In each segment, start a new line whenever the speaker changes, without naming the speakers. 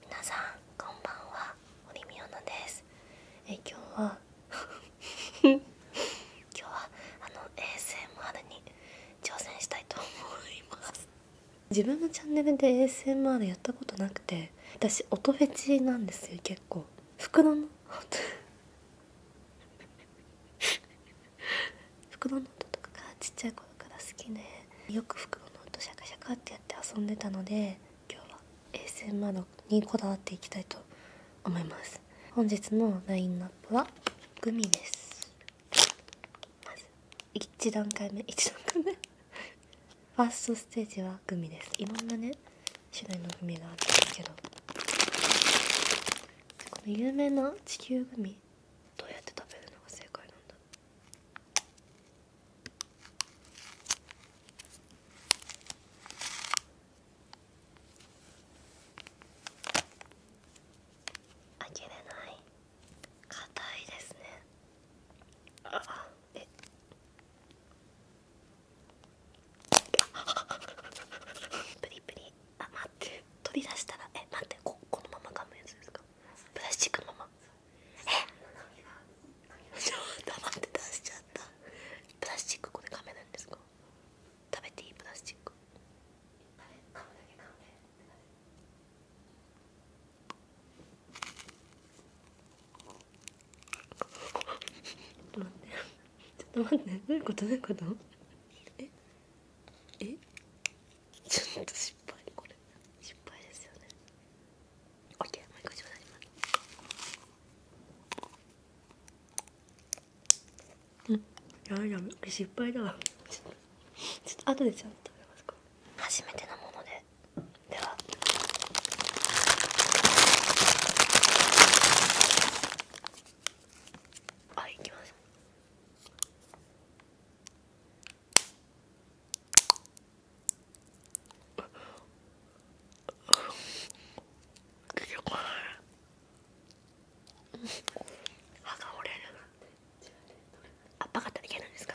皆さんこんばんは堀美央奈です
え今日は
今日はあの ASMR に挑戦したい
と思います自分のチャンネルで ASMR やったことなくて私音フェチなんですよ結構袋の袋 の音とかがちっちゃい頃から好きでよく服の音シャカシャカってやって遊んでたので今日は衛星窓にこだわっていきたいと思います本日のラインナップはグミです1段階目1段階目ファーストステージはグミですいろんなね種類のグミがあったんですけどこの有名な地球グミどうやって食べるのが正解なんだ
あきれない硬いですねプリプリあ待って取り出したらえ待ってここのまま噛むやつですかプラスチックのままえちょっと待って出しちゃったプラスチックこれカメなんですか食べていいプラスチック噛むだけ噛
ちょっと待ってちょっと待ってどういうことどういうこと
ええちょっと失敗これ失敗ですよね OK もう一回ちょ
うだいうんやめやめ失敗だわちょっと後でちゃんと食べますか初めてのものででははい行き
ます出てこない歯が折れるあっぱかったらいけないんですか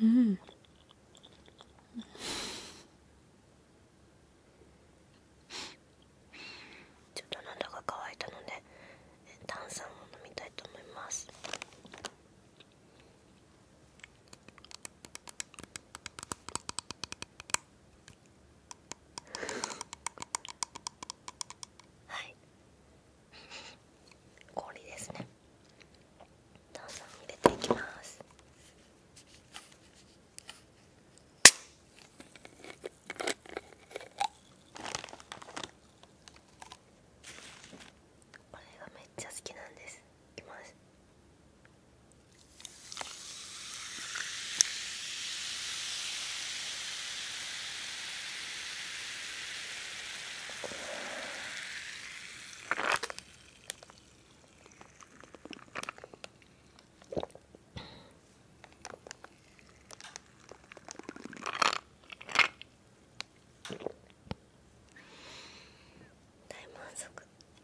うん。ちょっと喉が乾いたので炭酸を飲みたいと思いますはい氷ですねどんどん入れていきますこれがめっちゃ好きなんですいきます大満足。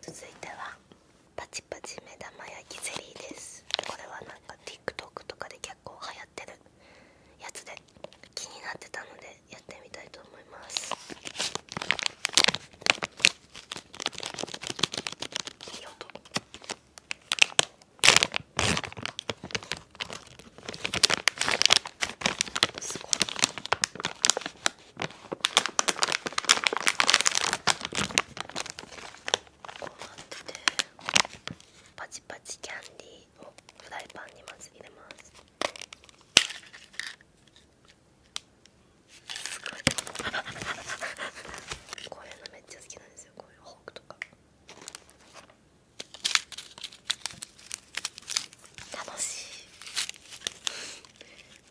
続いてはパチパチ目玉焼きゼリーですこれはなんか TikTok とかで結構流行ってるやつで気になってたのでやってみたいと思いますいい音すごいこうなっててパチパチキャンディーをフライパンにまず入れますこういうのめっちゃ好きなんですよこういうホークとか楽しい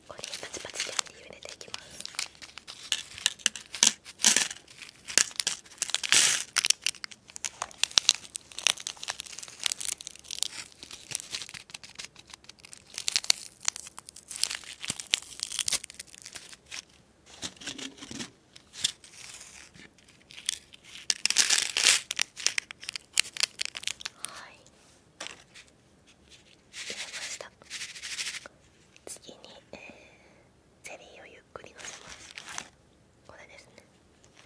これパチパチって入れていきますはい入れました次に、えゼリーをゆっくりのせますこれですね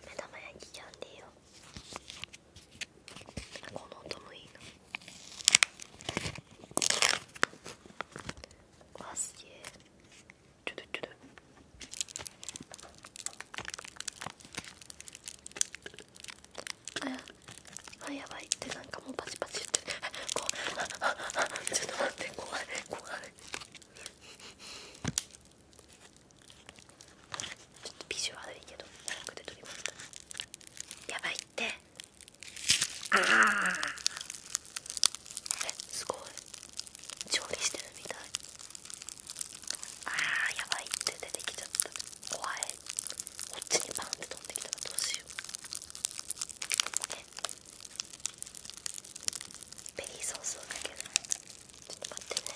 目玉焼きキャンディーをこの音もいいなわすげえちょどちょどああやばいってなんかもうパチパチって こう ちょっと待って怖い怖いちょっとビジュ悪いけど早くで撮りましたやばいってああえすごい調理してるみたいああやばいって出てきちゃった怖いこっちにバンって飛んできたらどうしようえベリーソースをかけないちょっと待ってね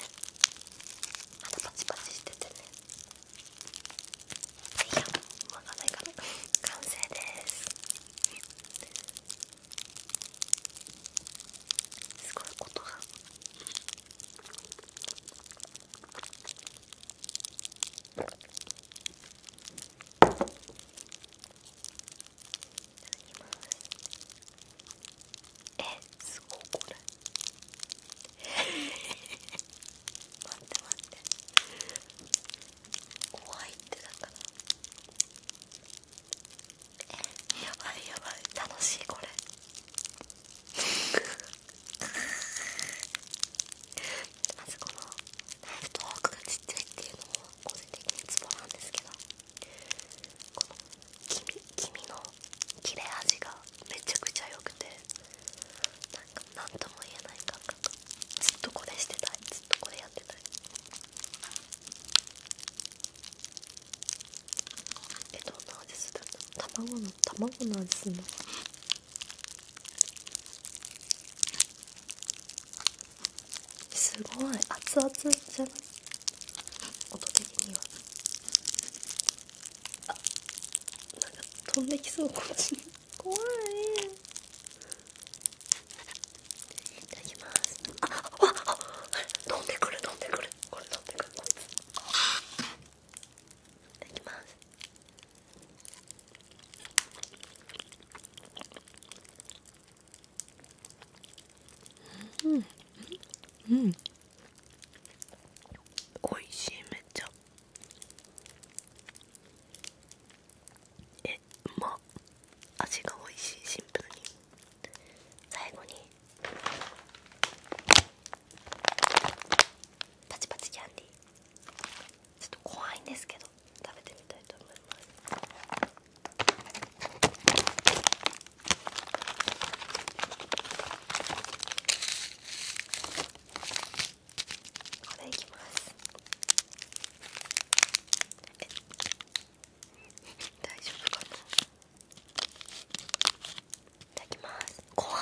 あとパチパチしててねいやわかんないから完成ですすごいことがえすごいこれ待って待って怖いってだからえやばいやばい楽しいこれまずこのナイフとフォークがちっちゃいっていうのも個人的にツボなんですけどこの黄身の切れ味がめちゃくちゃ良くて何とも言えない感覚ずっとこれしてたいずっとこれや
ってたいえどんな味するの卵の卵の味するのすごい熱々じゃない音的にはあなんか飛んできそうこっちに怖いいただきますあっ飛んでくる飛んでくるこれ飛んでくるこいつただきますうんう
んおいしいめっちゃえま味がおいしいシンプルに最後にパチパチキャンディーちょっと怖いんですけど食べてみたいと思いますこれいきますえ 大丈夫かない
ただきます怖い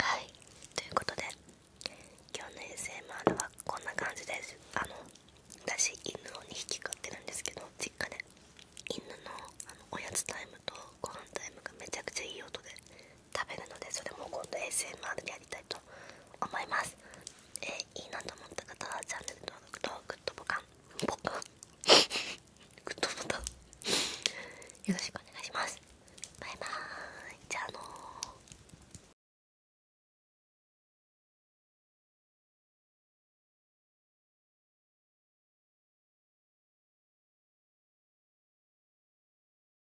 はいということで今日の衛 s 回路はこんな感じですあの私犬を2匹飼ってるんですけど実家で犬ののおやつタイムとご飯タイムがめちゃくちゃいい音で食べるのでそれも今度 ASMR でやりたいと思います、えいいなと思った方はチャンネル登録とグッドボタンボカングッドボタンよろしくお願いしますバイバーイじゃあのー